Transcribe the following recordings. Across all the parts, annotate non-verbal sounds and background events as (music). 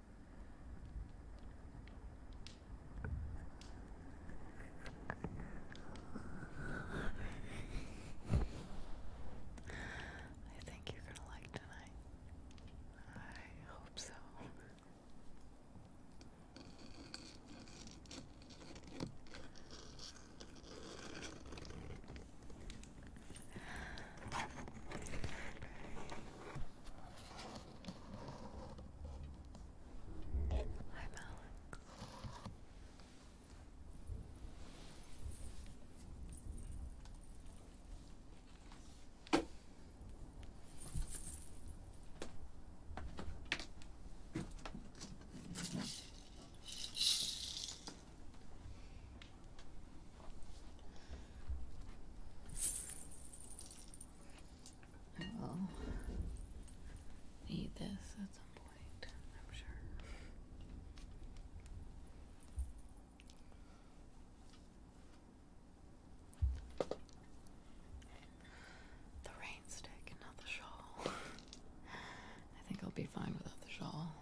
I think you're gonna like tonight. I hope so. I'm Alex. I will eat this at some point, I'm sure. The rain stick not the shawl. I think I'll be fine without the shawl.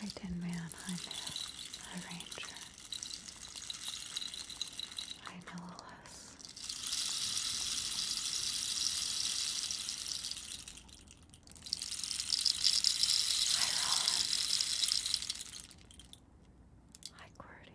Hi, Tin Man. Hi, Myth. Hi, Ranger. Hi, Nillis. Hi, Rowan. Hi, Qwerty.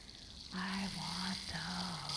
I want those.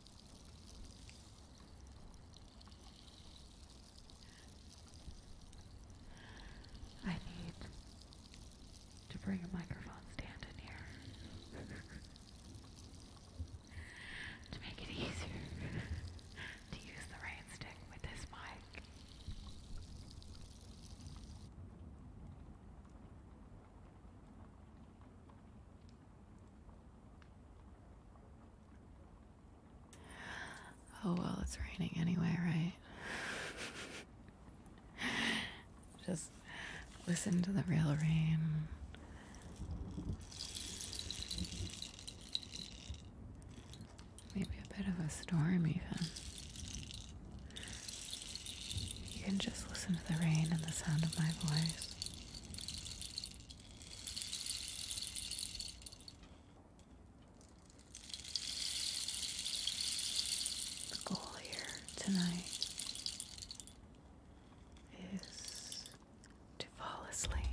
I need to bring a microphone stand in here (laughs) to make it easier (laughs) to use the rain with this mic. Oh well, it's raining anyway, right? (laughs) Just listen to the real rain. Maybe a bit of a storm, even. You can just listen to the rain and the sound of my voice. The goal here tonight is to fall asleep.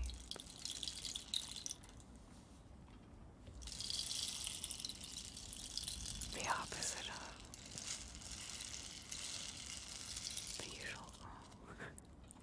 The opposite of the usual (laughs) Ridley.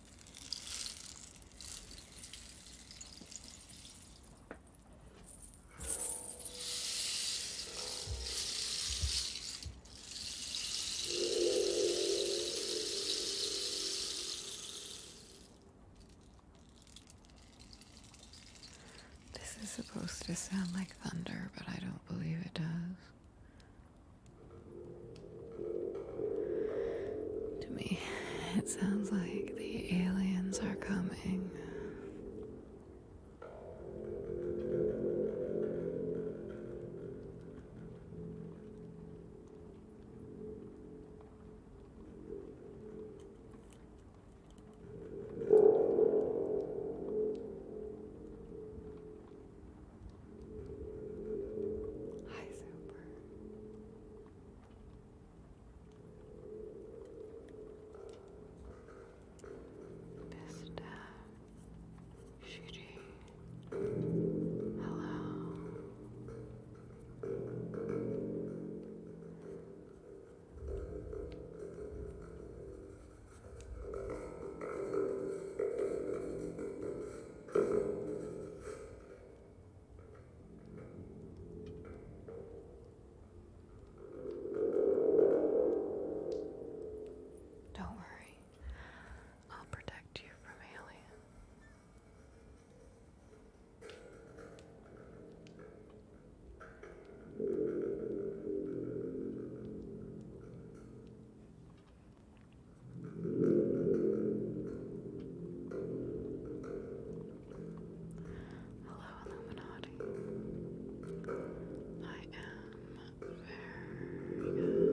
This is supposed to sound like thunder, but I don't believe it does. To me, it sounds like the aliens are coming. Hi, Super. Vista. Uh, Shiri. Hello. Don't worry, I'll protect you from alien. Hello, Illuminati. I am very good.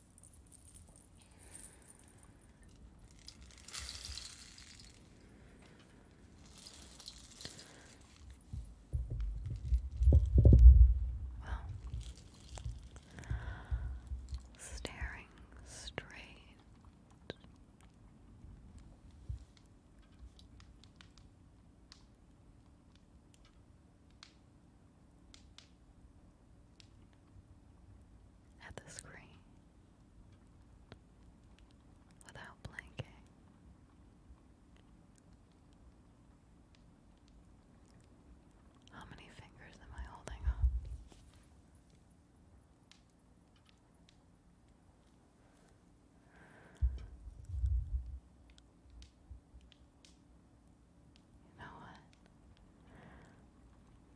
Well, staring straight at the screen without blinking. How many fingers am I holding up? You know what?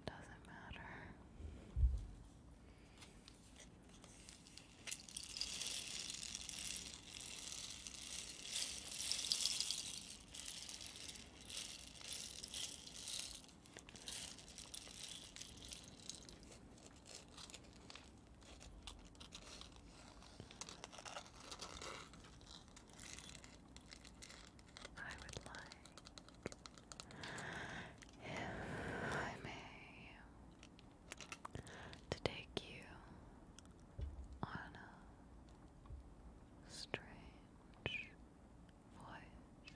Doesn't matter. I would like, if I may, to take you on a strange voyage.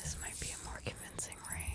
This might be a more convincing rain.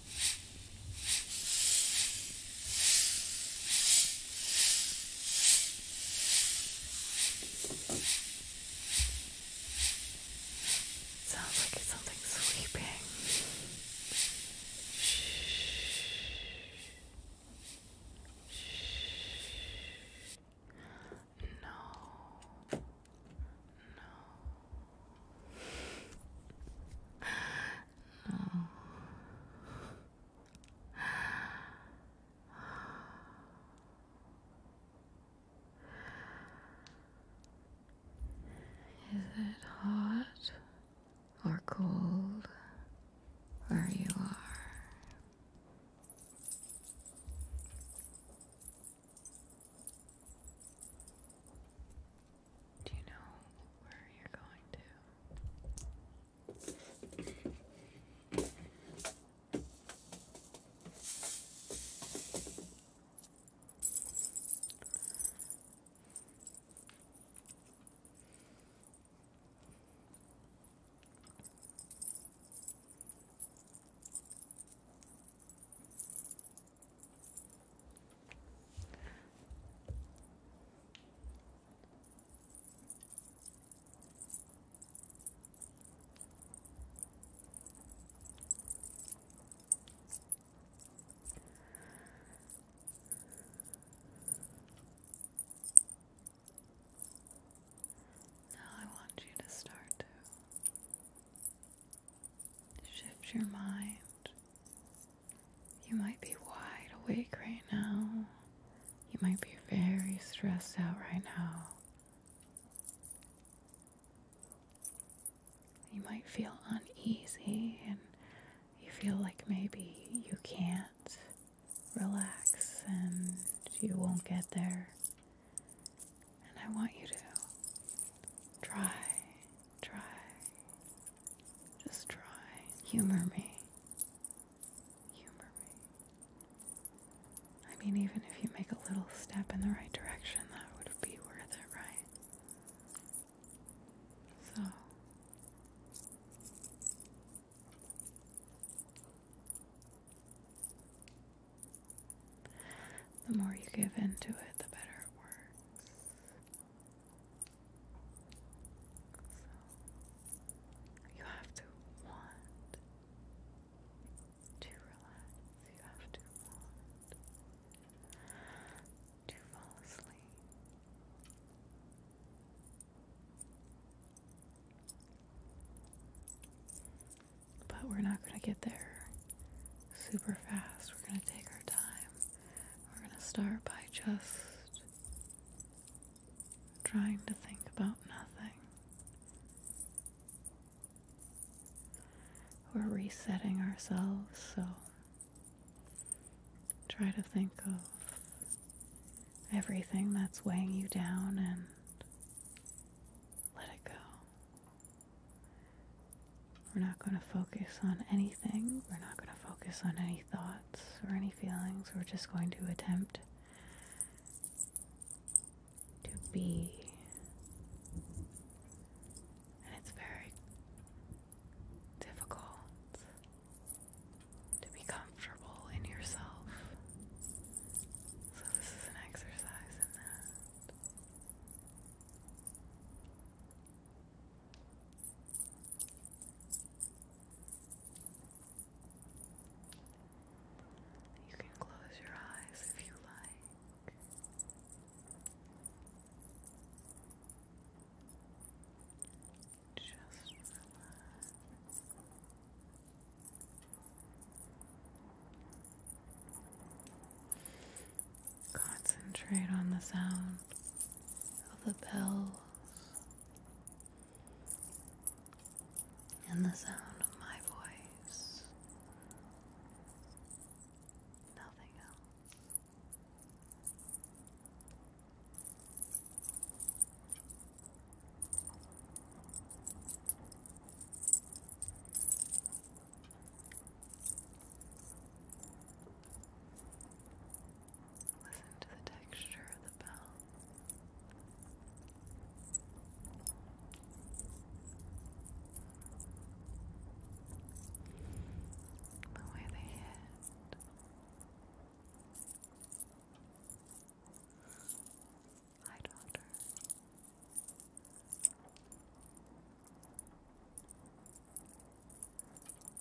Sounds like something sweeping. No. No. Is it hot or cold where you are? Do you know where you're going to? Now I want you to start to shift your mind you might be wide awake right now. You might be very stressed out right now. You might feel uneasy and you feel like maybe you can't relax and you won't get there. And I want you to try, try, just try. Humor me. Humor me. I mean, even if you make a little step in the right direction, that would be worth it, right? So. The more you give into it, the better it works you have to want to relax. You have to want to fall asleep. But we're not going to get there super fast. We're going to take our time. We're going to start by just trying to think about nothing. We're resetting ourselves, so try to think of everything that's weighing you down and let it go. We're not going to focus on anything, we're not going to focus on any thought or any feelings. We're just going to attempt to be. And it's very difficult to be comfortable in yourself. So, this is an exercise in that. You can close your eyes if you like. Just relax. Concentrate on the sound of the bells and the sound of my voice. Nothing else. Listen to the texture of the bell. The way they hit. Hi, Doctor.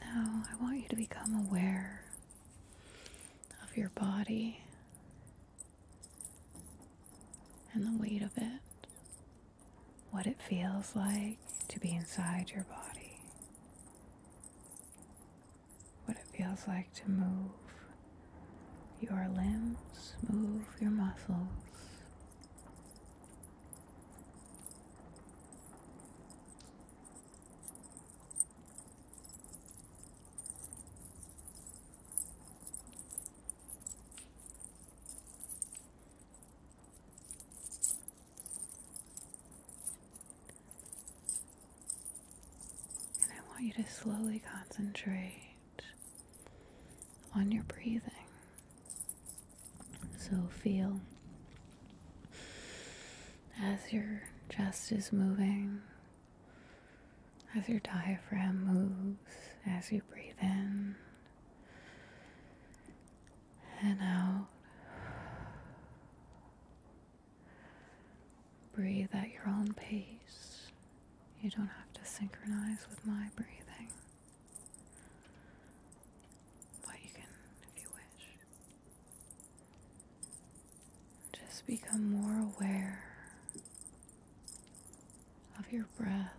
Now, I want you to become aware of your body and the weight of it, what it feels like to be inside your body, what it feels like to move your limbs, move your muscles, and I want you to slowly concentrate on your breathing. So feel as your chest is moving, as your diaphragm moves, as you breathe in and out. Breathe at your own pace. You don't have to synchronize with my breathing. But you can, if you wish, just become more aware of your breath.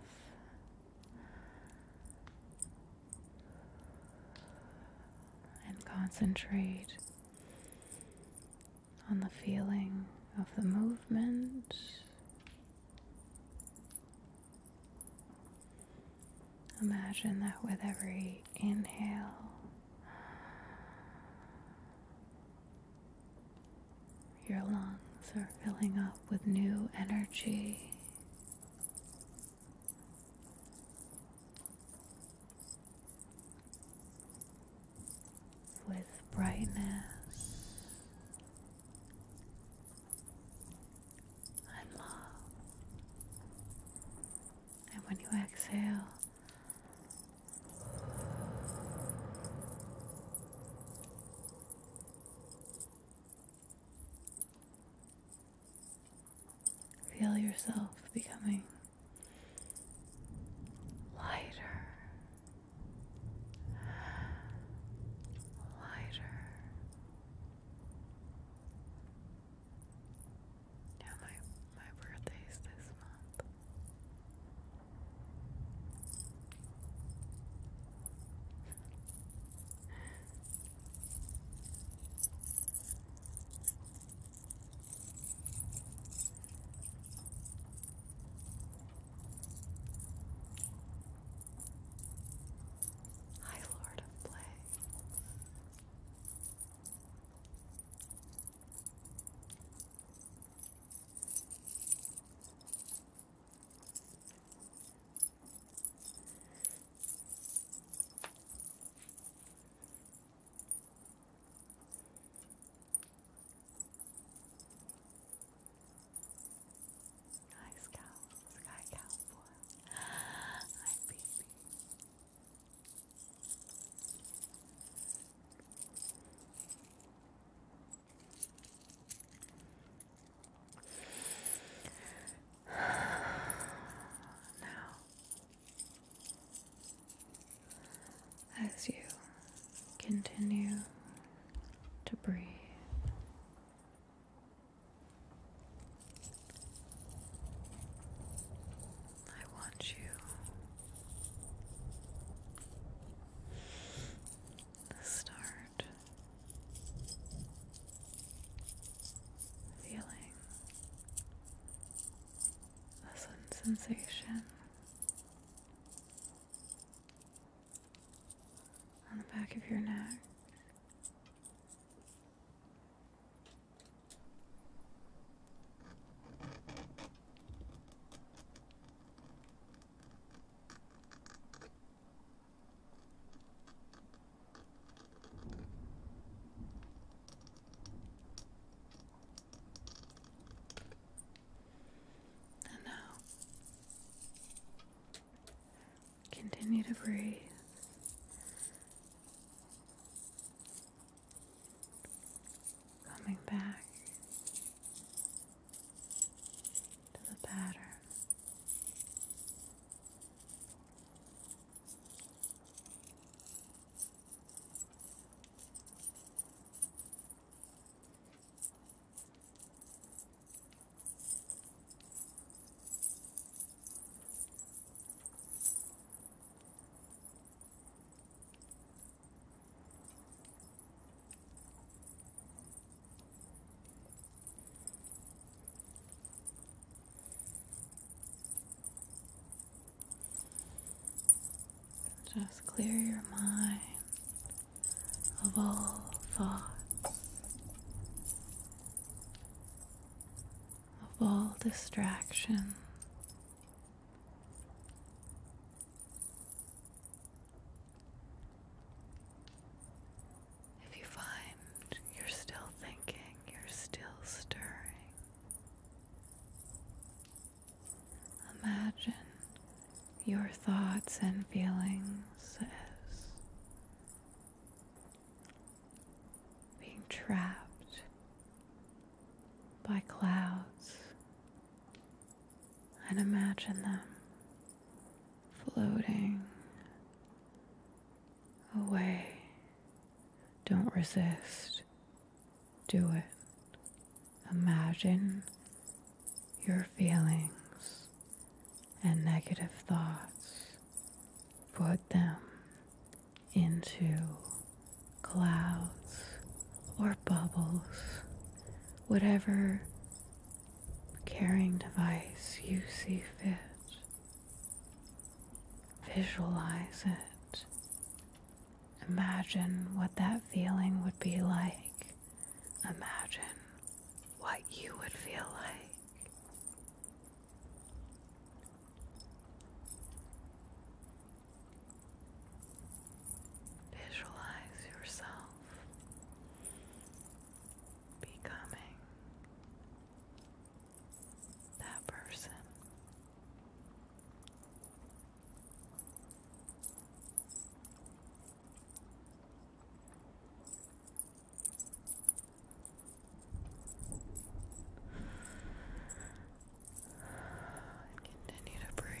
And concentrate on the feeling of the movement Imagine that with every inhale, your lungs are filling up with new energy. With brightness i love. And when you exhale, feel yourself becoming lighter, lighter, yeah, my my birthday is this month. High Lord of Play. Hi Scout, Sky Cowboy. Hi baby. (sighs) now, as you continue to breathe I want you to start feeling a sensation on the back of your neck. And now Continue to breathe. Coming back to the pattern. Just clear your mind of all thoughts of all distraction. If you find you're still thinking, you're still stirring, imagine your thoughts and feelings as being trapped by clouds, and imagine them floating away. Don't resist. Do it. Imagine your feelings and negative thoughts, put them into clouds or bubbles, whatever carrying device you see fit. Visualize it. Imagine what that feeling would be like. Imagine what you would feel like. Visualize yourself becoming that person. And continue to breathe.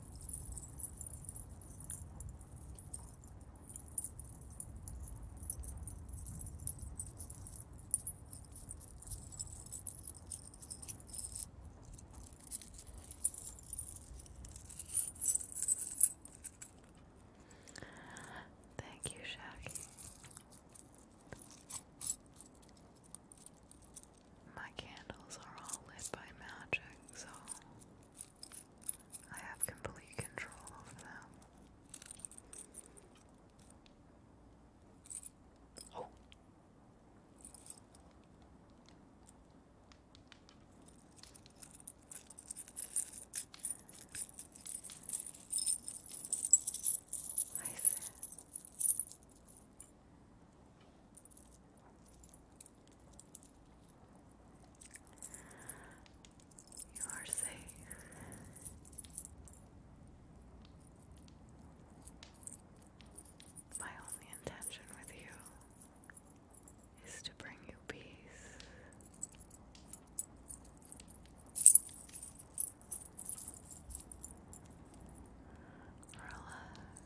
Thank you, Shaggy. My candles are all lit by magic, so I have complete control over them. Oh. You are safe. My only intention with you is to bring you peace. Relax.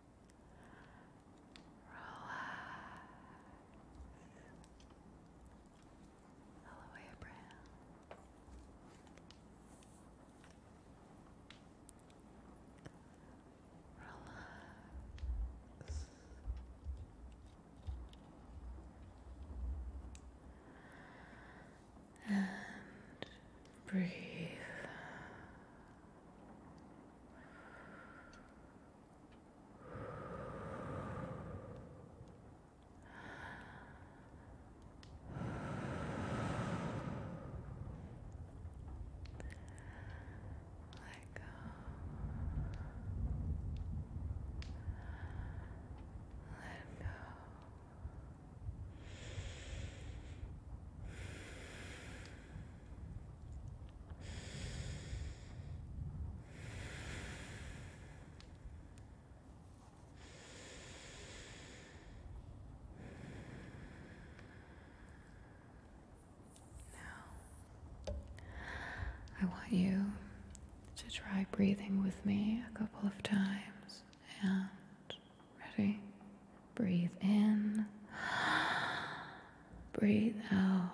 Relax. Hello, Abraham. Relax. And breathe let go. Let go. Let go. Now, I want you to try breathing with me a couple of times and Ready? Breathe in. Breathe out.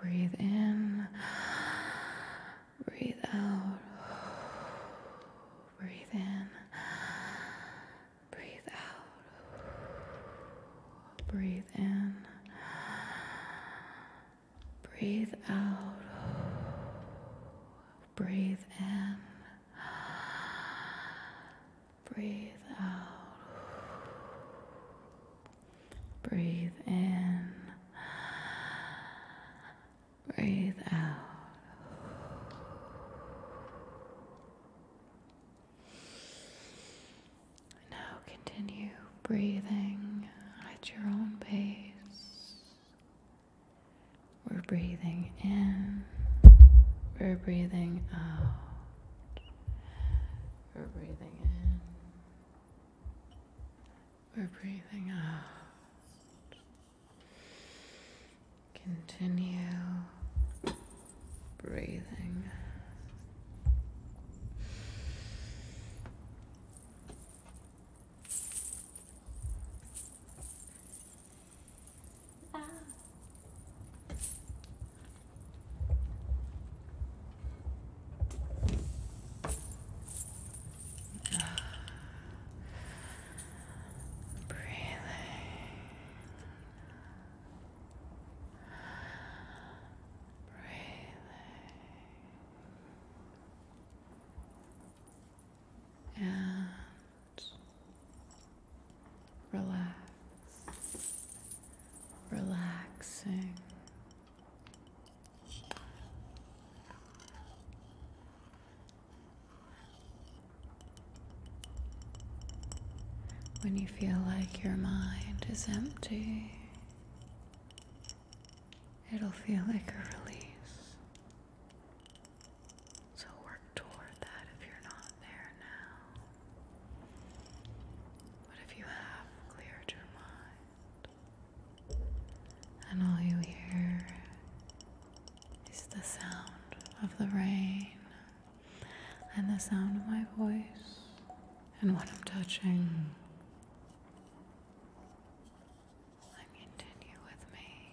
Breathe in. Breathe out. Breathe in. Breathe out. Breathe in. Breathe out. Breathe in. Breathe out. Breathe in. Breathe out. Now continue breathing at your own pace. We're breathing in. We're breathing out. We're breathing in. We're breathing out. Continue breathing. Ah. Breathing. Breathing. And relax, relaxing. When you feel like your mind is empty, it'll feel like a release. So work toward that if you're not there now. But if you have cleared your mind, and all you hear is the sound of the rain and the sound of my voice and what I'm touching. continue with me.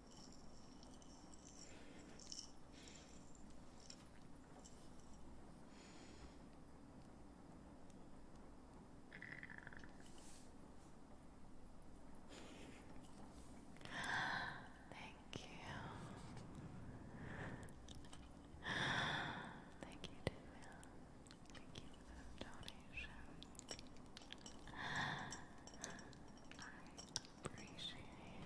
Thank you. Thank you, Deville. Thank you for the donation. I Appreciate it.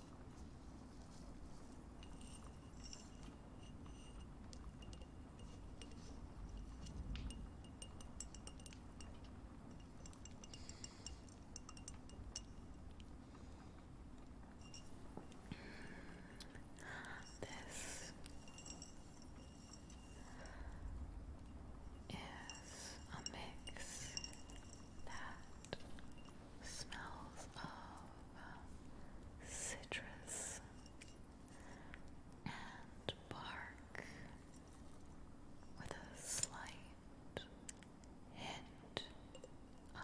This is a mix that smells of citrus and bark with a slight hint of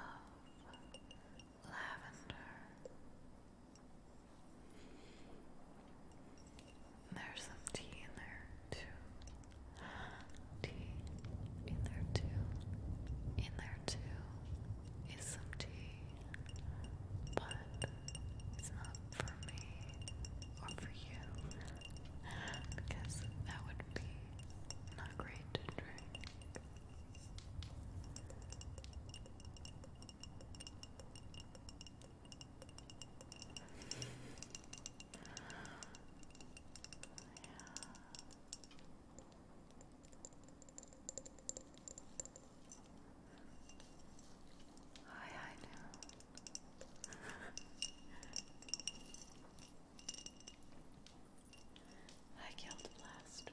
lavender. There's some tea in there too. Tea in there too. In there too is some tea, but it's not for me or for you because that would be not great to drink. Yeah. I, I know. I killed Blaster.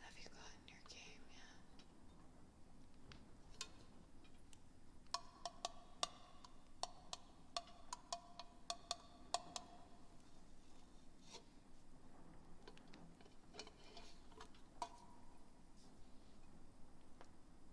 Have you gotten your game yet?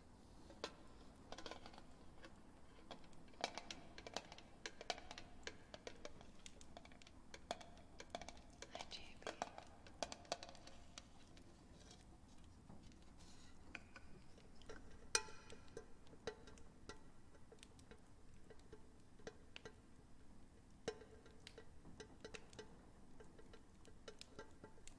Hi, JB.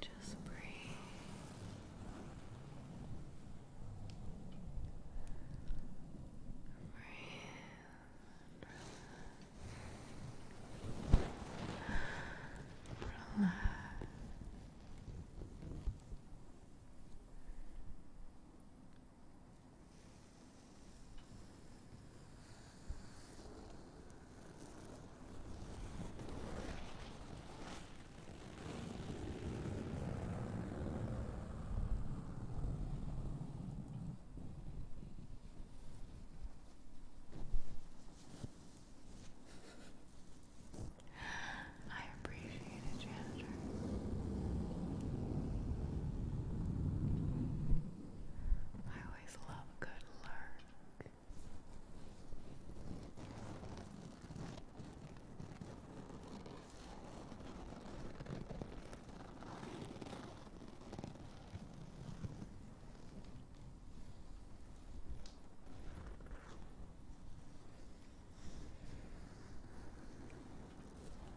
Just breathe. Breathe. Relax. I appreciate it, janitor. I always love a good lurk.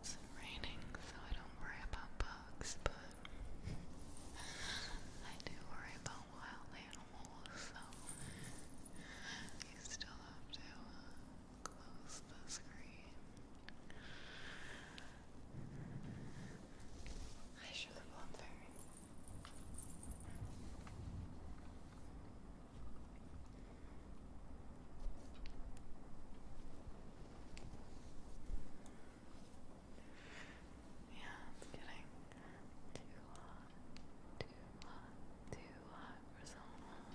It's raining, so I don't worry about bugs, but I do worry about wild animals, so you still have to uh, close the screen. I should have gone fairy. Yeah, it's getting too hot, too hot, too hot for so long.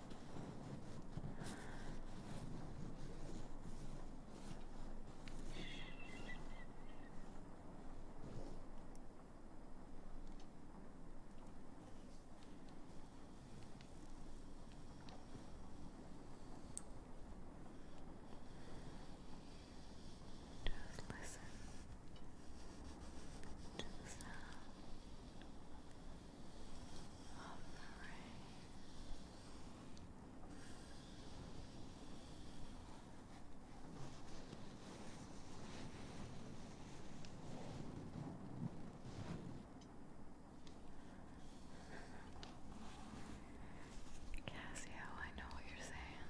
Just listen to sound of the rain. Cassio, I know what you're saying.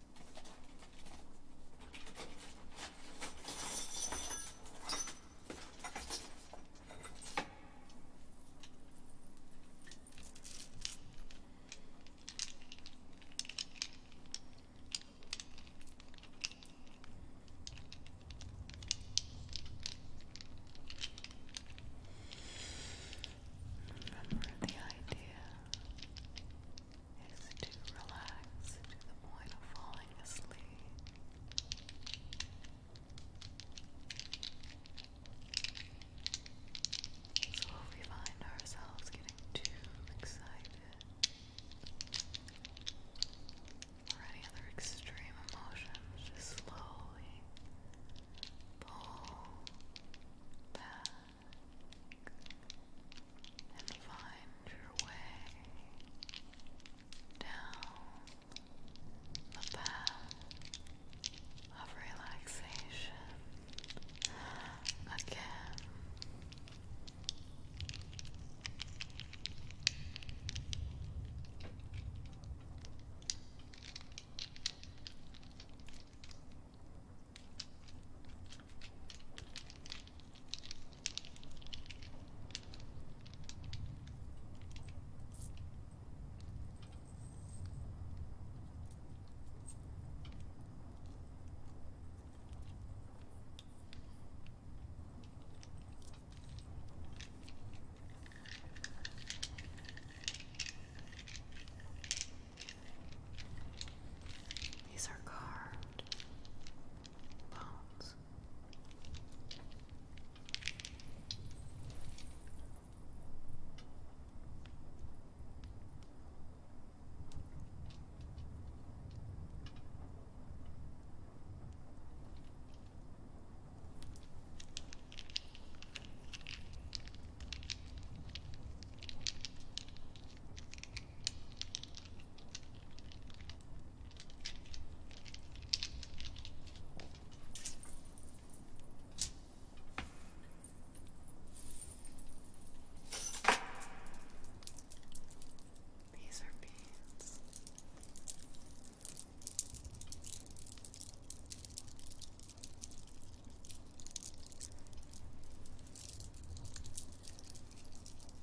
Remember the idea is to relax to the point of falling asleep. So if we find ourselves getting too excited or any other extreme emotions, slowly pull back and find your way down the path of relaxation again. These are carved bones. These are beans.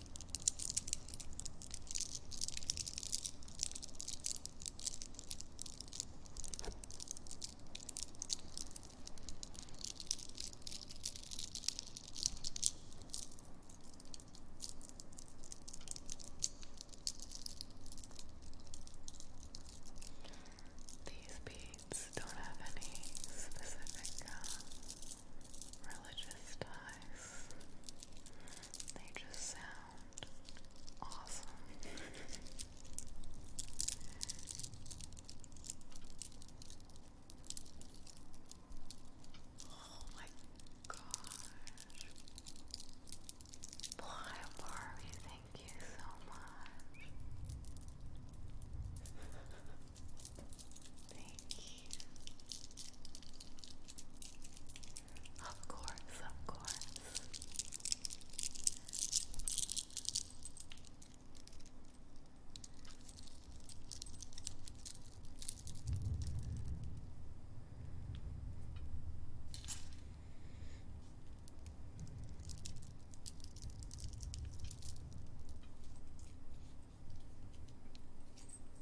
These beads don't have any specific uh, religious ties they just sound awesome. oh my gosh. Boy, Barbie, thank you so much. (laughs) Thank you. Of course, of course.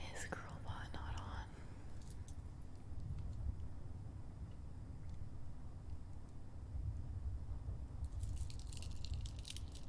Is Girlbot not on?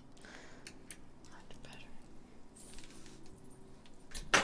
Much better. Brocky.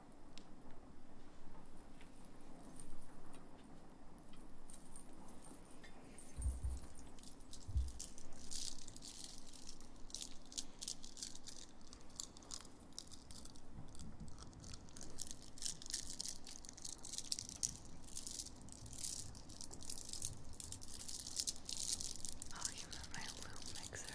Oh, you remember my loop mixer?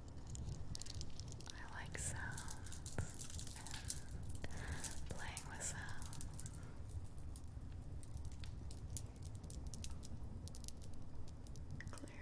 I like sounds and playing with sounds. Clearly.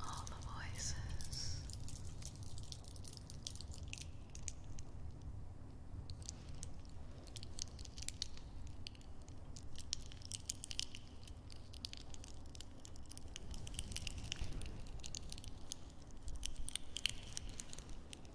All the voices.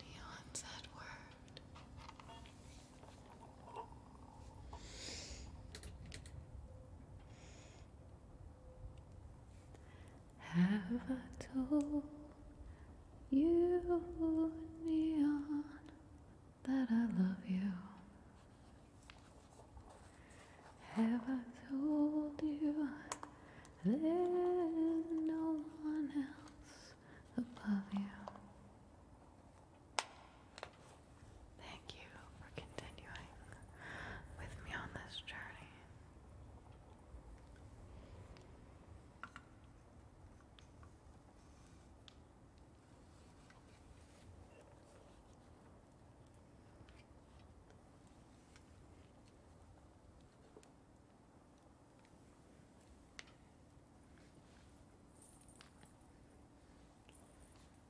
Neon's that word. Have I told you, Neon, that I love you? Have I told you there's no one else above you? Thank you for continuing with me on this journey.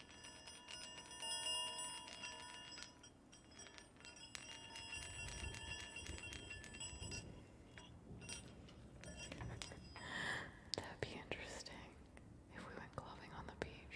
(laughs) That'd be interesting if we went clubbing on the beach.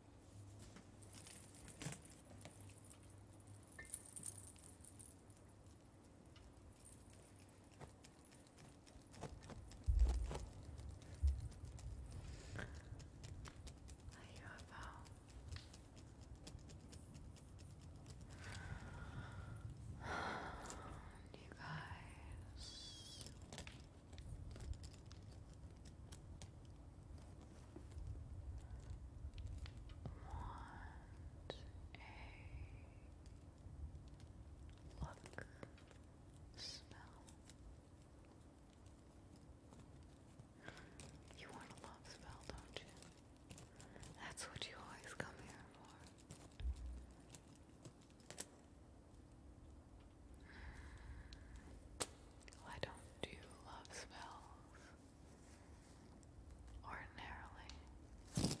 Um, (sighs) you guys a look, smell. You want a love spell, don't you? That's what you always come here for. Well, I don't do love spells ordinarily.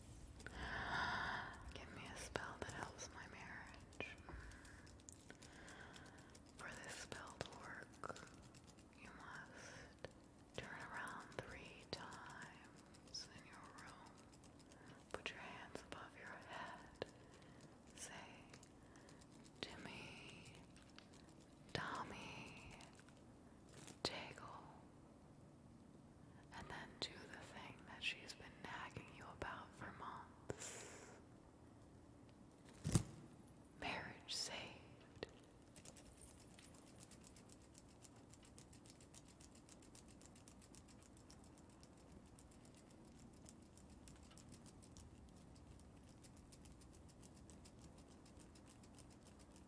Give me a spell that helps my marriage. For this spell to work, you must turn around three times in your room. Put your hands above your head. Say, Timmy, Tommy, Jaggle. And then do the thing that she's been nagging you about for months. Marriage saved.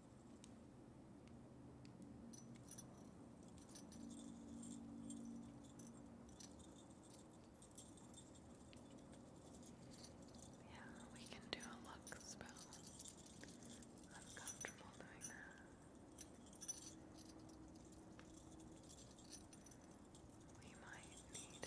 Yeah, we can do a luck spell. i doing that. We might need it.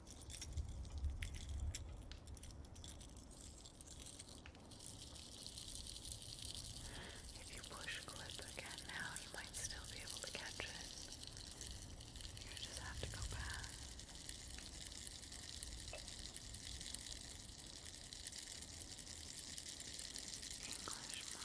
If you push clip again now, you might still be able to catch it. You just have to go back. English muffin.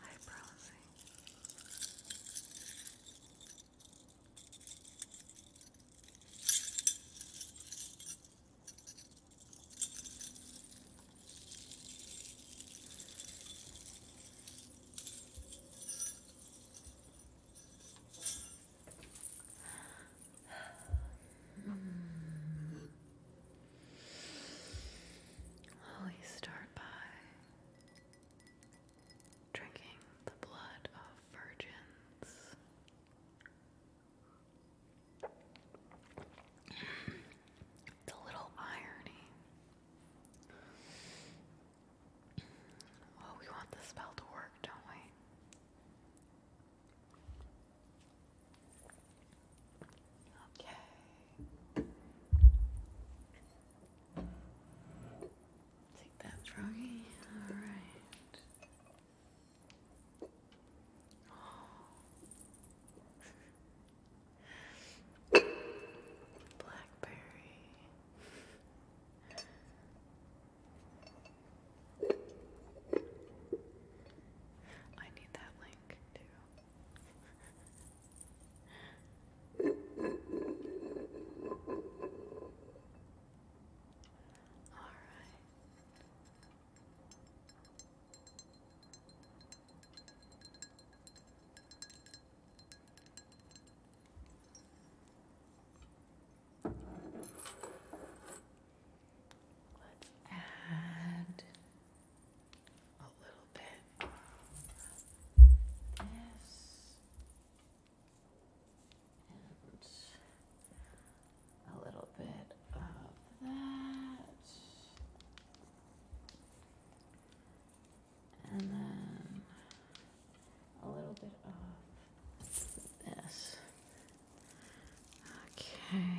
High promising. Mm. Always start by drinking the blood of virgins. It's a little irony. Well, we want the spell to work, don't we? Okay. Take that, froggy. All right. Blackberry. I need that that link All right. Let's add a little bit of this and a little bit of that. And then a little bit of this. Okay.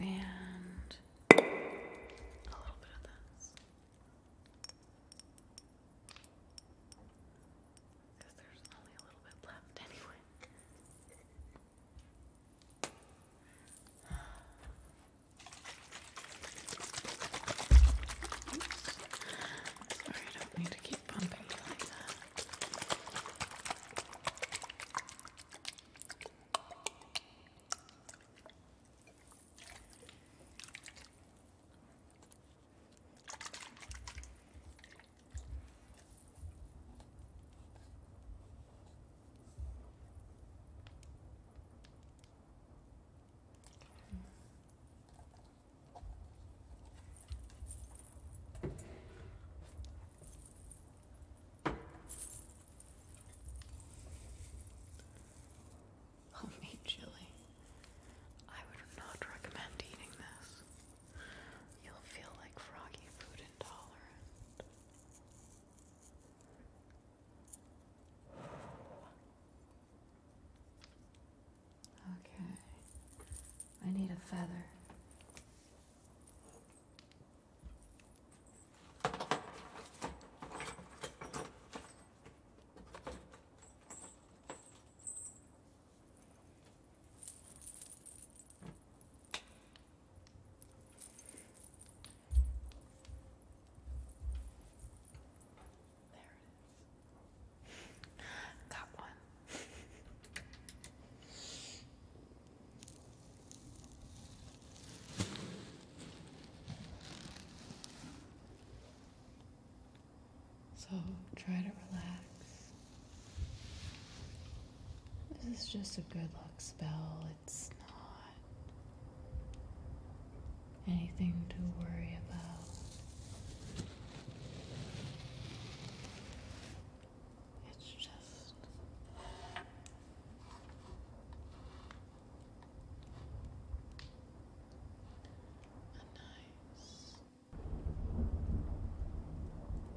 And a little bit of this. Because there's only a little bit left anyway. Oops. Sorry, I don't need to keep bumping you like that. Mm. Homemade chili. I would not recommend eating this. You'll feel like froggy food intolerant. Okay. I need a feather. Got one. So try to relax. This is just a good luck spell. It's not anything to worry about. It's just. A nice, relaxing thing.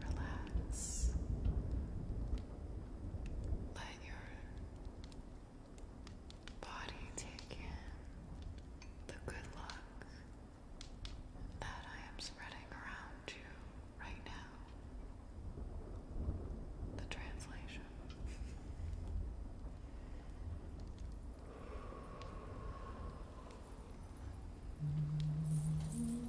relax. Let your body take in the good luck that I am spreading around you right now. The translation. Mm-hmm.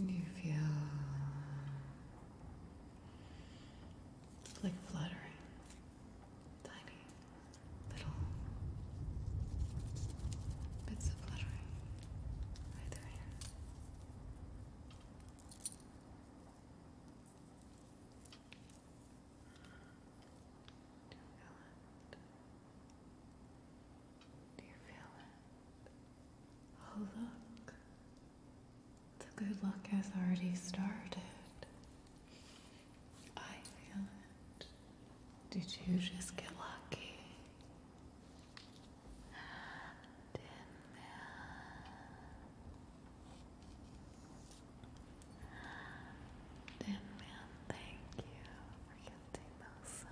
And you feel like fluttering, tiny little bits of fluttering. Do you feel it? Do you feel it? Oh, look. The good luck has already started. I feel it. Did you just get lucky? did man, did man thank you for gifting those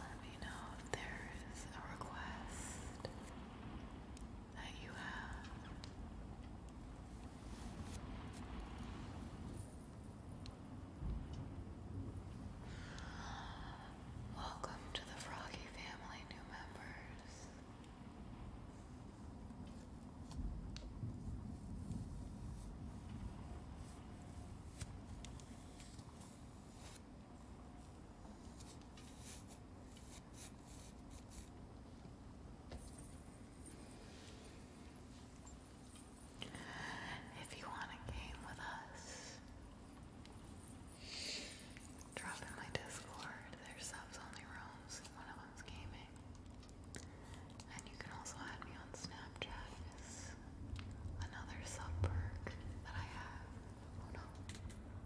let me know if there is a request that you Welcome to the Froggy family, new members. If you want a game with us, drop in my Discord. There's subs only rooms. One of them's gaming. And you can also add me on Snapchat another sub perk that I have. Oh no.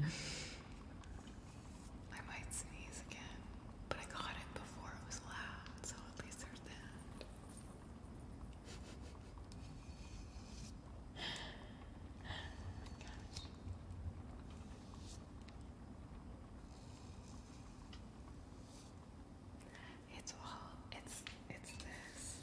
I might sneeze again, but I got it before it was loud, so at least there's that. It's all it's it's this.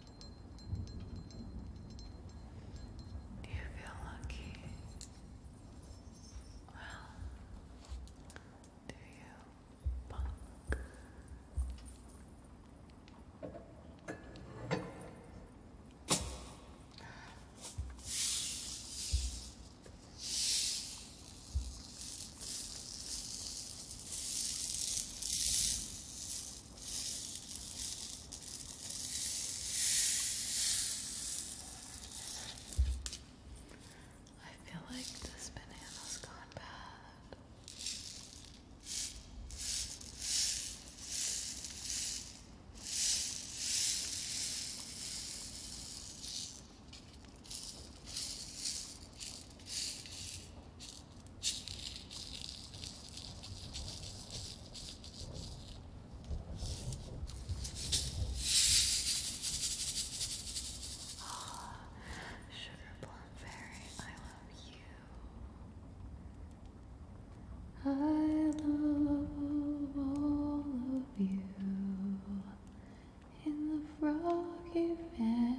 Do you feel lucky? Well, do you, punk? I feel like this banana's gone bad. Oh, (sighs) Fairy, I love you. I love all of you in the froggy family.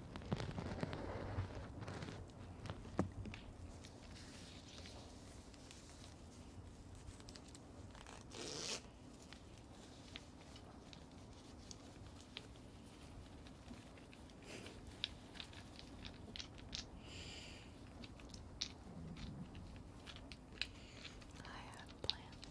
I have plans.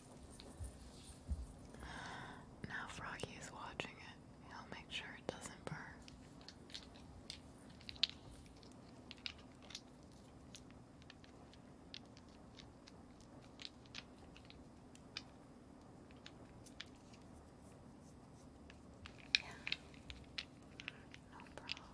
Now Froggy is watching it. He'll make sure it doesn't burn. Yeah. No problem.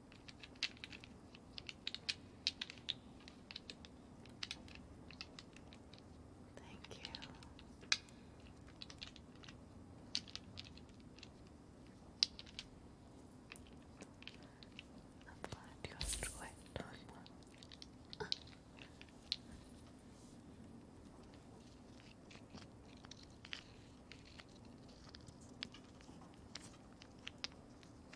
Thank you. I'm glad you enjoyed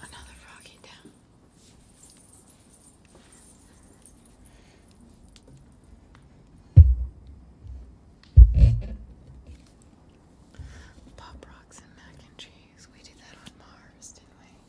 Another froggy down. Pop rocks and mac and cheese. We did that on Mars, didn't we?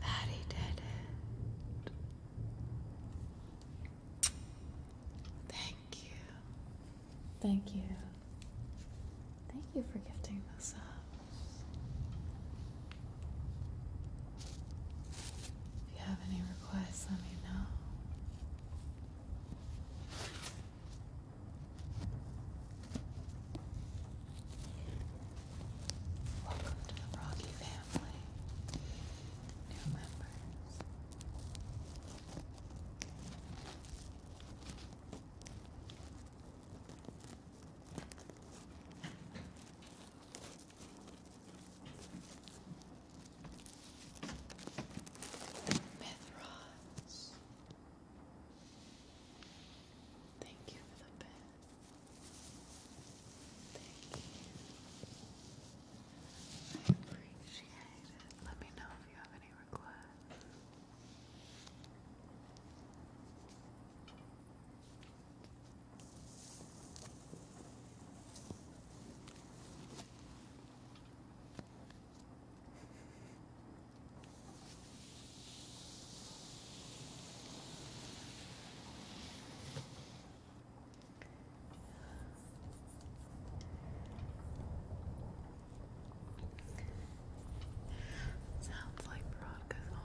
that did it. Thank you. Thank you. Thank you for gifting this up. If you have any requests, let me know. Welcome to the Froggy family. New members. Mythros. Thank you for the bed. Thank you. I Let me know if you have any requests. Sounds like Brock Grapefruit.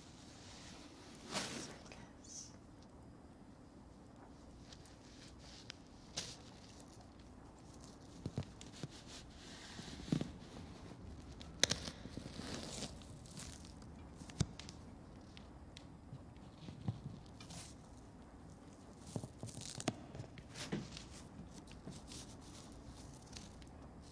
circus.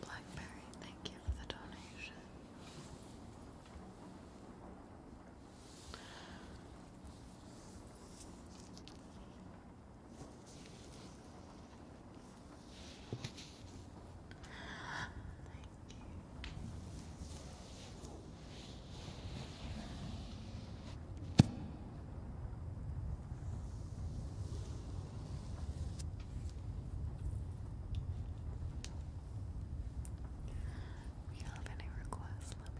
Blackberry, thank you for the donation. We have any requests?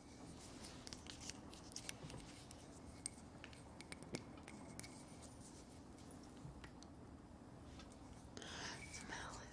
Smell it.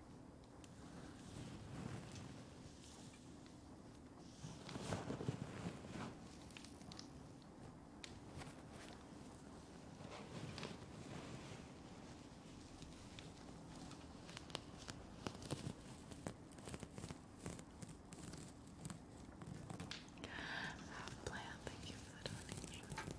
Plan, thank you for the donation.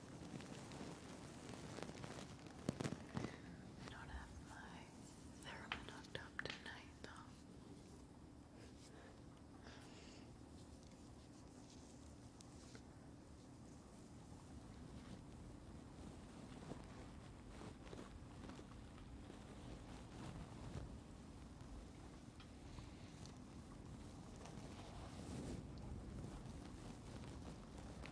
I don't have my theremin hooked up tonight, though.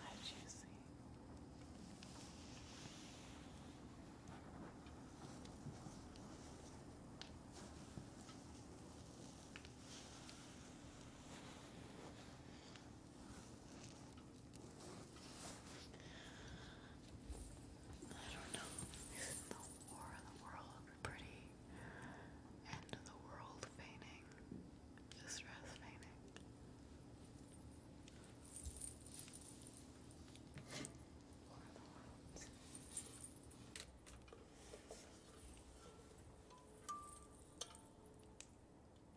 How juicy. I don't know. the war in the world pretty? End of the world painting. Distress painting. War of the worlds.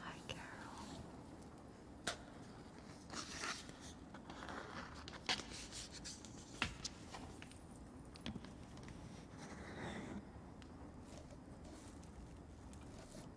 Hi, Carol.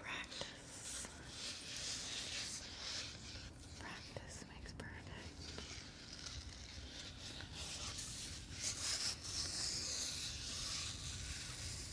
Practice. Practice makes perfect.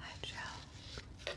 I shall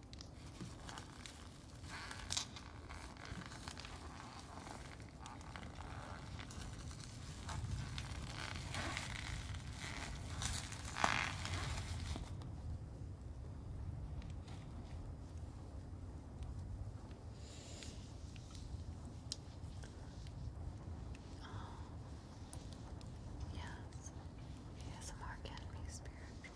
Oh, yes, ASMR can be spiritual.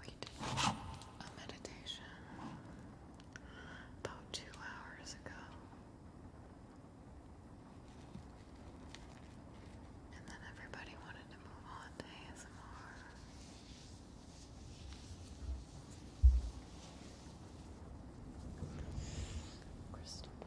We did a meditation about two hours ago, and then everybody wanted to move on to ASMR. Crystal ball.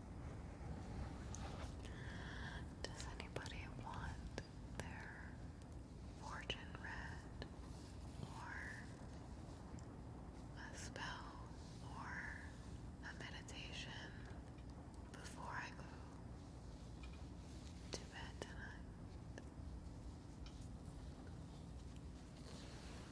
does anybody want their fortune read or a spell or a meditation before I go to bed tonight?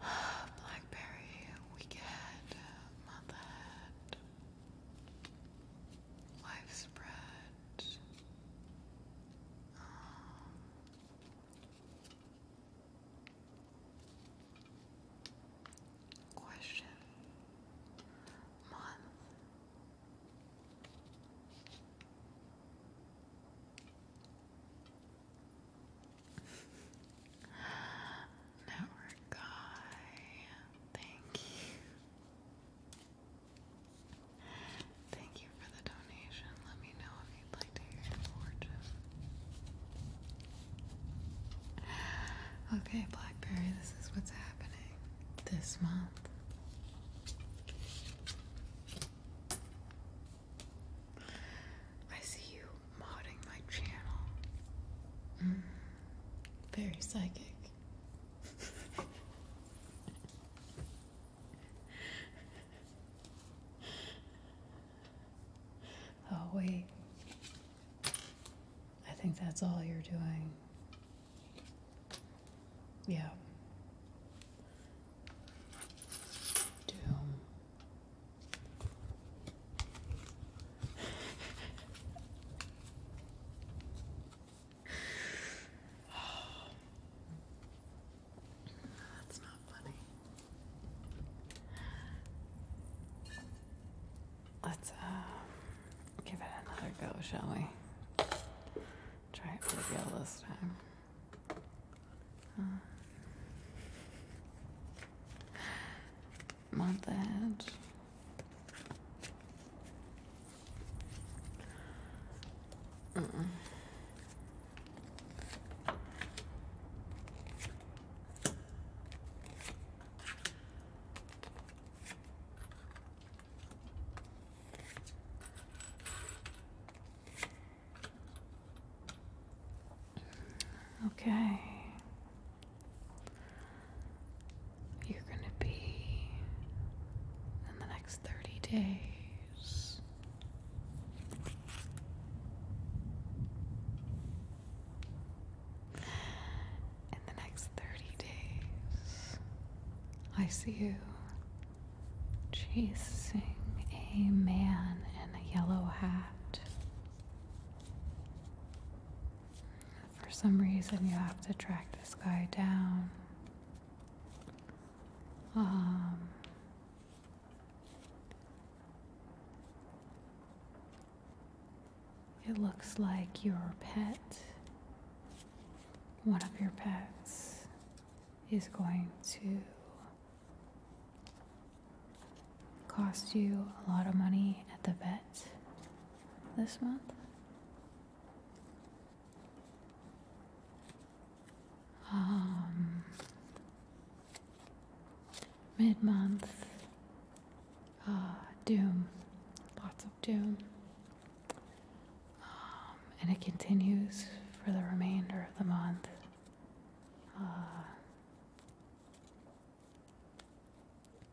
Blackberry weekend, motherhood, life spread. Um, question month Network guy, thank you. Thank you for the donation. Let me know if you'd like to hear your fortune. Okay, Blackberry, this is what's happening this month. I see you modding my channel. Mm. very psychic. (laughs) oh, wait. I think that's all you're doing. Yeah. Doom. That's not funny. Let's uh, give it another go, shall we? Try it for real this time. Uh, not Uh -uh. Okay. You're going to be in the next 30 days. In the next 30 days, I see you chasing a man in a yellow hat. For some reason, you have to track this guy down. Um, it looks like your pet, one of your pets, is going to cost you a lot of money at the vet this month. Um, mid month, uh, doom, lots of up um, and it continues for the remainder of the month. Uh,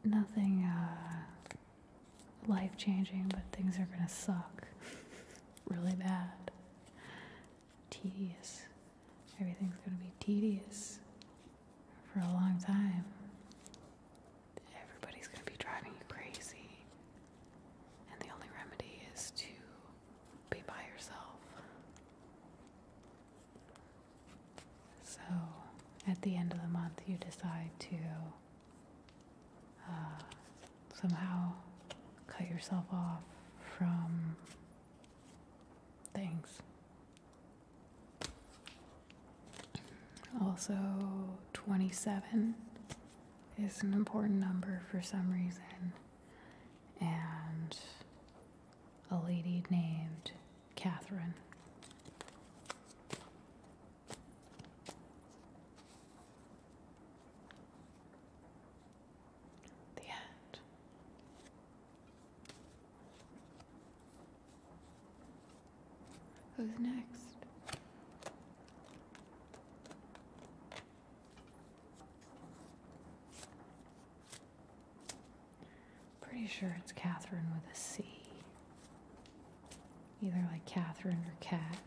nothing uh, life changing, but things are going to suck (laughs) really bad. Tedious. Everything's going to be tedious for a long time. Everybody's going to be driving you crazy. And the only remedy is to be by yourself. So at the end of the month, you decide to uh, somehow cut yourself off from things. Also, 27 is an important number for some reason. And a lady named Catherine. The end. Who's next? Pretty sure it's Catherine with a C. Either like Catherine or Cat.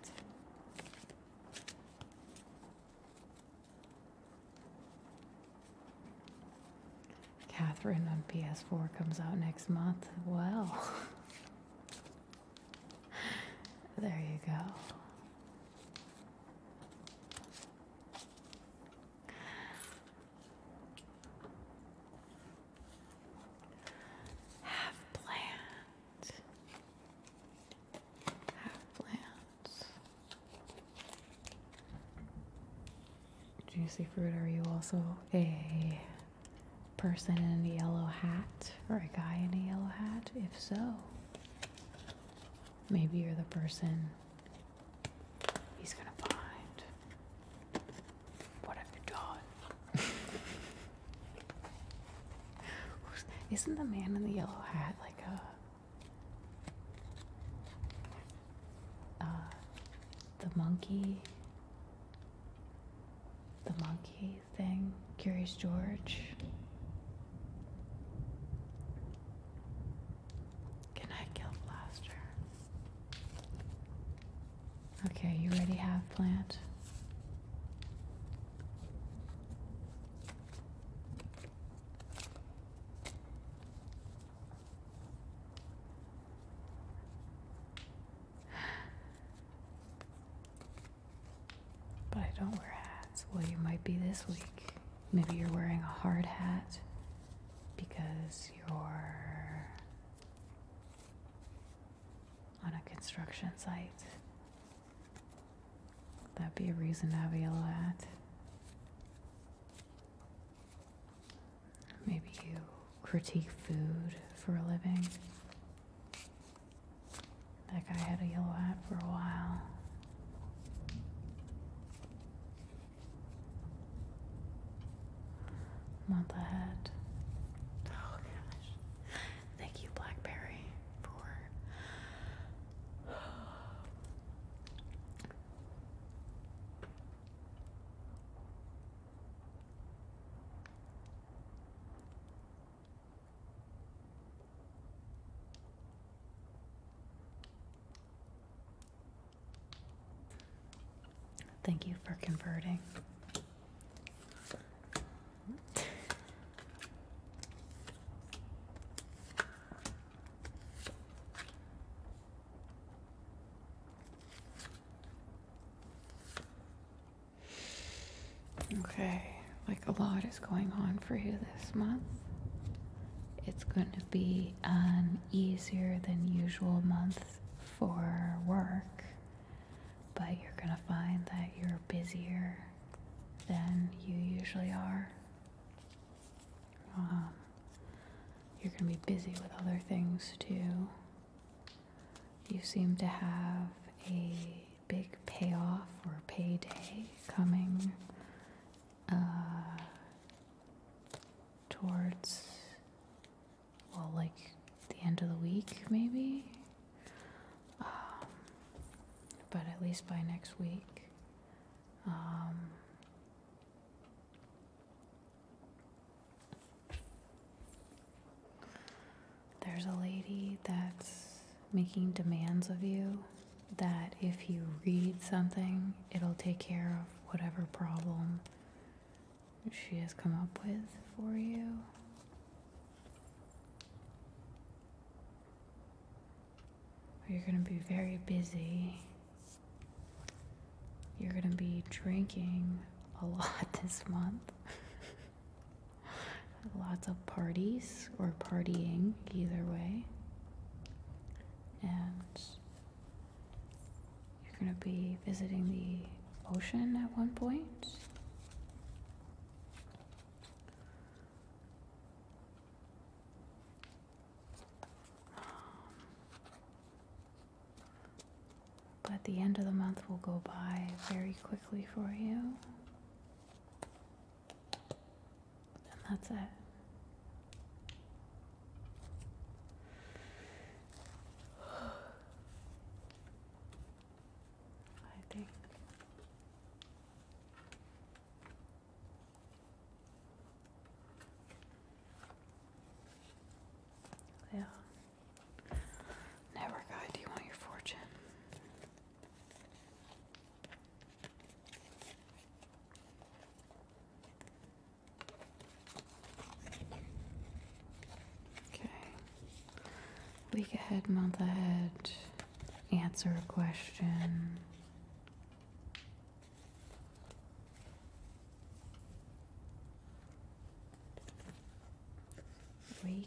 Catherine on PS4 comes out next month. Well, (laughs) there you go. Have plans. Have plans. Juicy fruit, are you also a person in a yellow hat or a guy in a yellow hat? If so, maybe you're the person he's gonna find. What have you done? (laughs) Isn't the man in the yellow hat like a. Uh, the monkey? The monkey? thing, Curious George. Can I kill Blaster? Okay, you already have plant. But I don't wear hats. Well, you might be this week. Maybe you're wearing a hard hat because you're on a construction site. that Would be a reason to have a hat? Maybe you critique food for a living. That guy had a yellow hat for a while. Month ahead. Oh gosh. Thank you, Blackberry, for. Thank you for converting. Okay, like a lot is going on for you this month. It's going to be an easier than usual month for work, but you're going to find that you're busier than you usually are. Um, you're going to be busy with other things too. You seem to have a big payoff or payday coming uh, towards, well, like the end of the week, maybe. Um, but at least by next week. Um, there's a lady that's making demands of you that if you read something, it'll take care of whatever problem she has come up with for you. You're going to be very busy. You're going to be drinking a lot (laughs) this month. Lots of parties or partying, either way. And you're going to be visiting the ocean at one point. Um, but the end of the month will go by very quickly for you. And that's it. I think yeah. Never guy, do you want your fortune? Okay. Week ahead, month ahead, answer a question. Week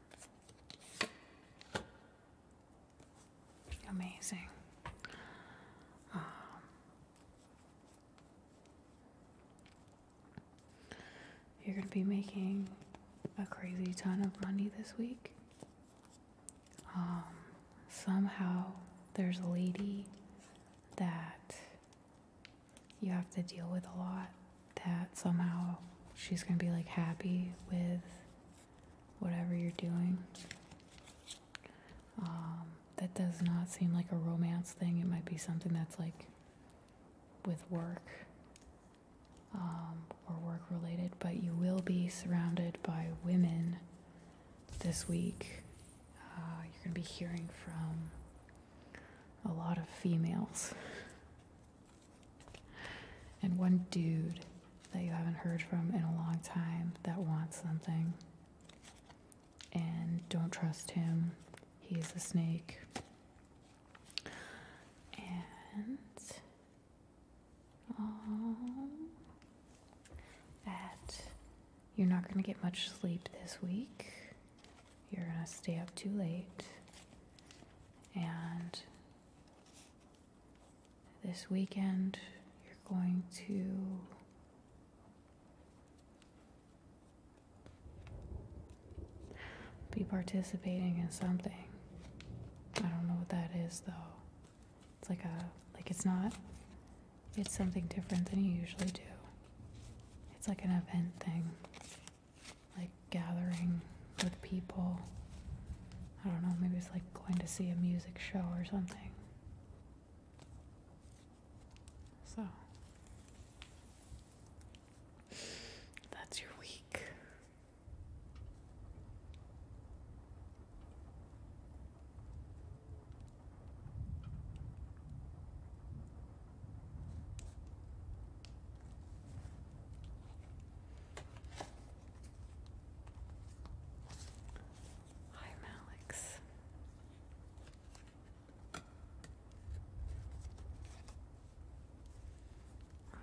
Amazing. Um, you're going to be making a crazy ton of money this week. Um, somehow there's a lady that you have to deal with a lot that somehow she's going to be like happy with whatever you're doing. Um, that does not seem like a romance thing. It might be something that's like with work um, or work related, but you will be surrounded by women this week. Uh, you're going to be hearing from a lot of females. And one dude that you haven't heard from in a long time that wants something. And don't trust him. He's a snake. And um, that you're not going to get much sleep this week. You're going to stay up too late. And this weekend, you're going to be participating in something. I don't know what that is though. It's like a like it's not it's something different than you usually do. It's like an event thing like gathering with people. I don't know, maybe it's like going to see a music show or something. So, that's your week. Hi, Alex. All right.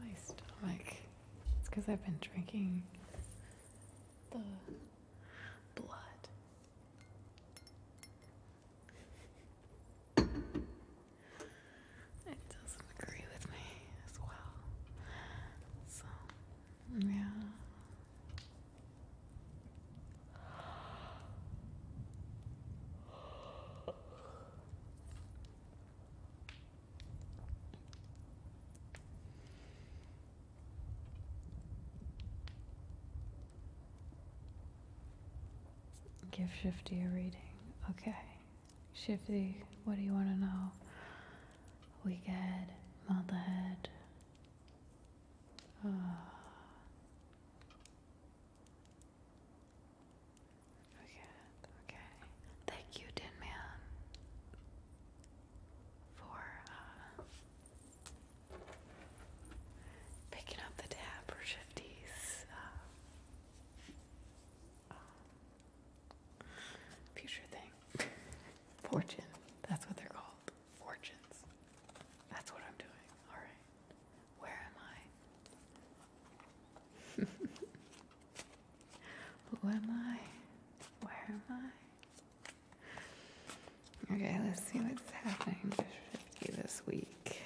My stomach. It's because I've been drinking the blood. It doesn't agree with me as well. So, yeah. Give Shifty a reading. Okay. Shifty, what do you want to know? We Wicked, Motherhead. Uh, Okay, okay. Thank you, Dinman, for uh, picking up the tab for Shifty's uh, um, future thing. (laughs) Fortune. That's what they're called. Fortunes. That's what I'm doing. Alright. Where am I? (laughs) Who am I? Where am I? Okay, let's see what's happening this week.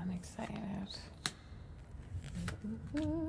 I'm excited. (laughs)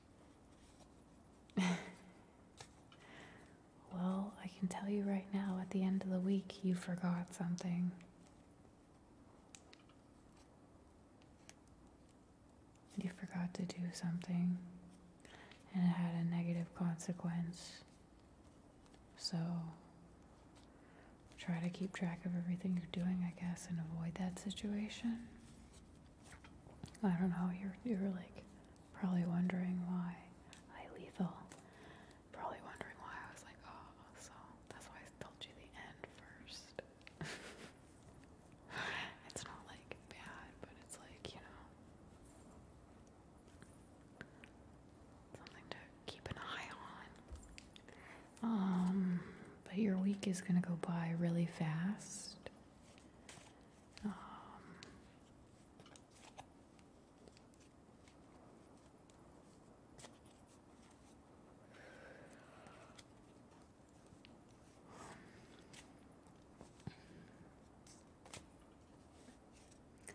(laughs) well, I can tell you right now, at the end of the week, you forgot something. You forgot to do something, and it had a negative consequence. So, try to keep track of everything you're doing, I guess, and avoid that situation. I don't know, you're, you're like probably wondering why I lethal. Probably wondering why I was like, oh, so that's why I told you the end first. (laughs) it's not like bad, but it's like, you know, something to keep an eye on. Um, but your week is gonna go by really fast. Um,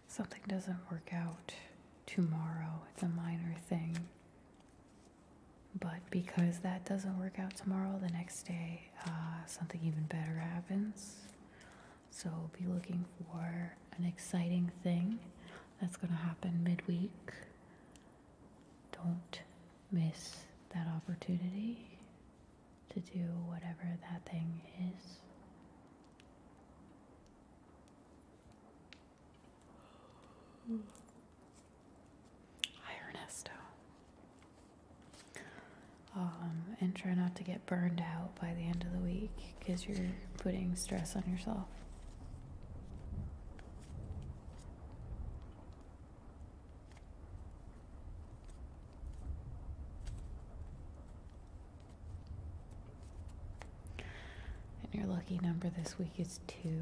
something doesn't work out tomorrow, it's a minor thing. But because that doesn't work out tomorrow, the next day uh, something even better happens. So be looking for an exciting thing that's going to happen midweek. Don't miss that opportunity to do whatever that thing is. Hi, hmm. Um, and try not to get burned out by the end of the week because you're putting stress on yourself. And your lucky number this week is two.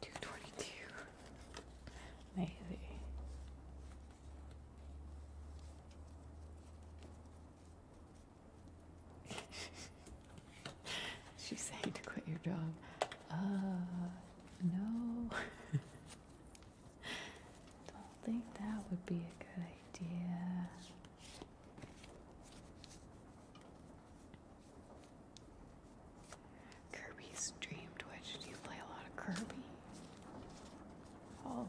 222. Maybe. (laughs) She's saying to quit your job. Uh, no. (laughs) Don't think that would be a good idea. Kirby's Dream Twitch. Do you play a lot of Kirby? Holy.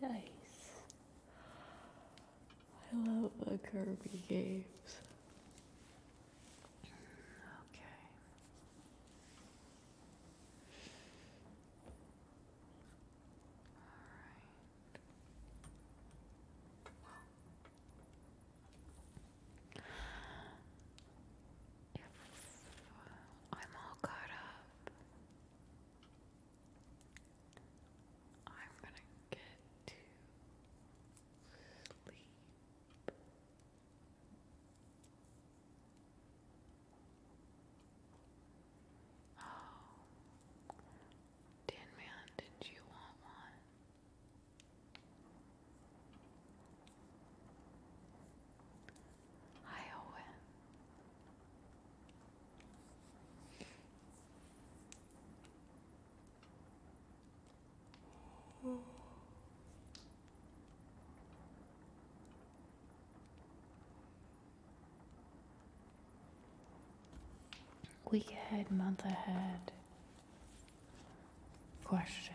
Nice. I love the Kirby games. Okay. All right. If I'm all caught up, I'm gonna get to sleep. Oh, Tin Man, did you want one? Hi, Owen. Week ahead, month ahead. Question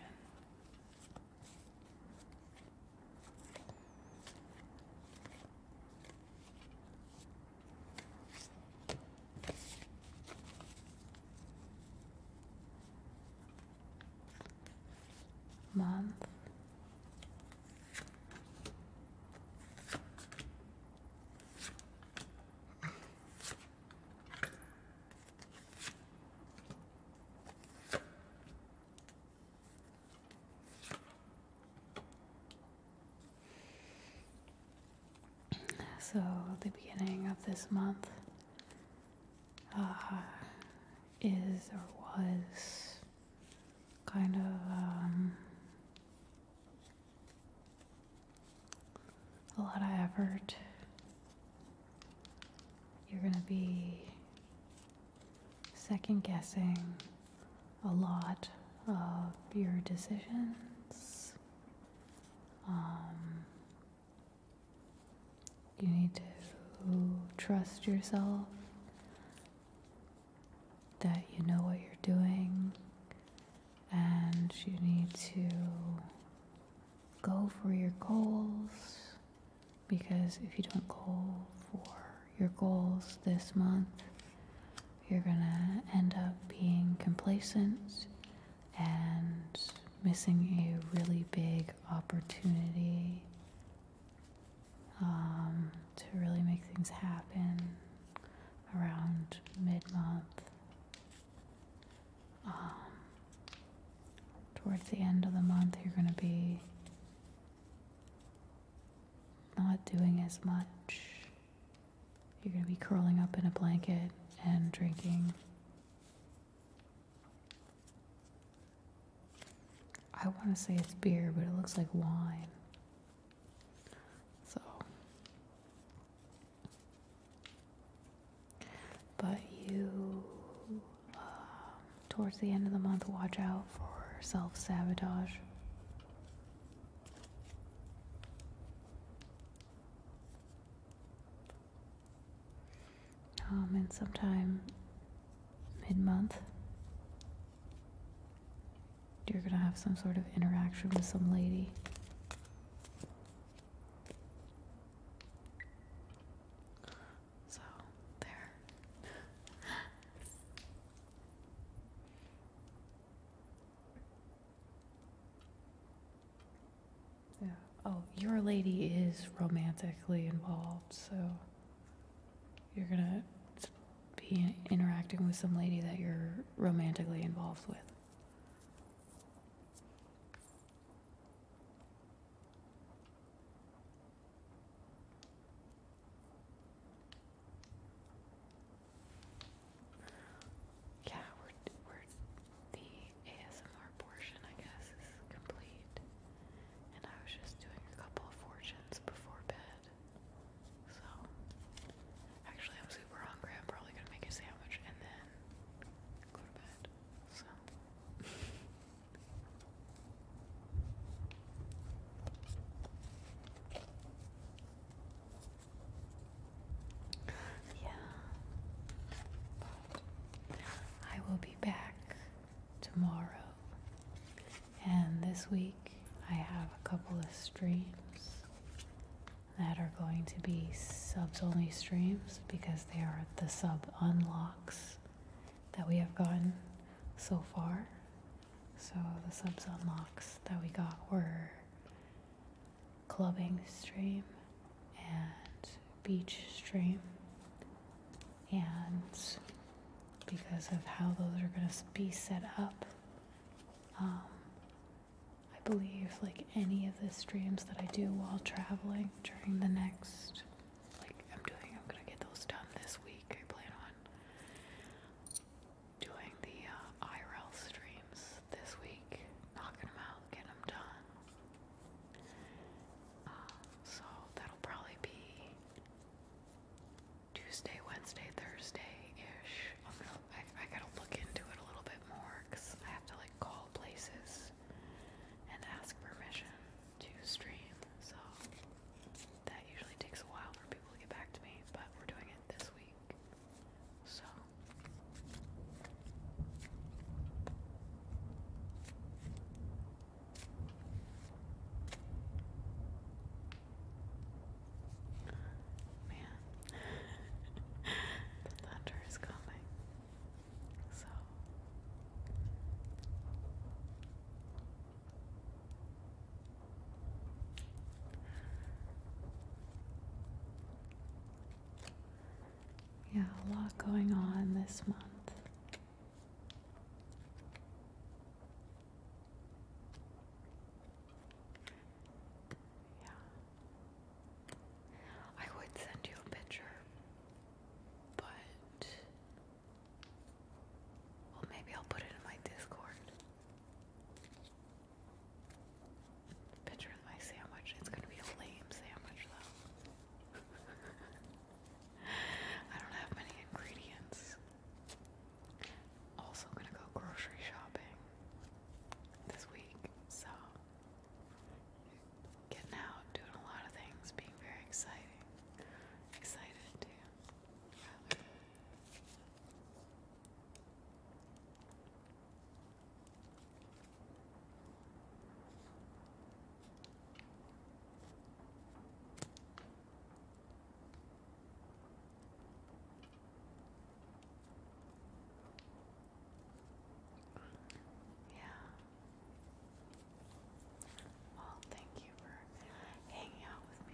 month so, the beginning of this month uh, is or was kind of um, a lot of effort. You're going to be second guessing a lot of your decisions. Um, you need to trust yourself that you know what you're doing and you need to go for your goals because if you don't go for your goals this month, you're gonna end up being complacent and missing a really big opportunity um, to really make things happen around mid month. Um, towards the end of the month, you're going to be not doing as much you're going to be curling up in a blanket and drinking. I want to say it's beer, but it looks like wine. So. But you, um, towards the end of the month, watch out for self sabotage. Um, and sometime mid month, you're gonna have some sort of interaction with some lady. So, there. Yeah. Oh, your lady is romantically involved, so you're gonna be interacting with some lady that you're romantically involved with. Yeah, we're we're the ASMR portion, I guess, is complete. And I was just doing a couple of fortunes before bed. So actually I'm super hungry. I'm probably gonna make a sandwich and then go to bed. So (laughs) Yeah. I will be back tomorrow. And this week I have a couple of streams that are going to be sub only streams because they are the sub unlocks that we have gotten so far. So the sub unlocks that we got were clubbing stream and beach stream. And because of how those are going to be set up, um, I believe like any of the streams that I do while traveling during the next, like I'm doing, I'm going to get those done this week, I plan on doing the uh, IRL streams this week, knocking them out, getting them done. Uh, so that'll probably be Tuesday, Wednesday, Thursday-ish. I'm going I gotta look into it a little bit more because I have to like call places and ask permission to stream. So that usually takes a while for people to get back to me, but we're doing it this week. So man, (laughs) the thunder is coming. So yeah, a lot going on this month. Yeah. I would send you a picture, but well, maybe I'll put it in my Discord. Picture my sandwich. It's gonna be a lame sandwich though. (laughs) I don't have many ingredients. Also gonna go grocery shopping this week, so getting out, doing a lot of things, being very exciting. Excited yeah. Well, thank you for hanging out with me.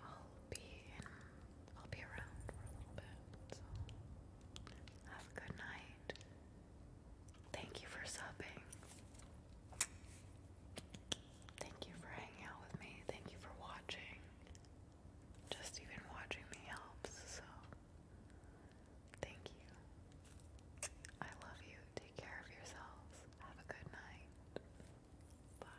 I'll be I'll be around for a little bit, have a good night. Thank you for subbing. Thank you for hanging out with me. Thank you for watching. Just even watching me helps, so thank you. I love you. Take care of yourselves. Have a good night. Bye.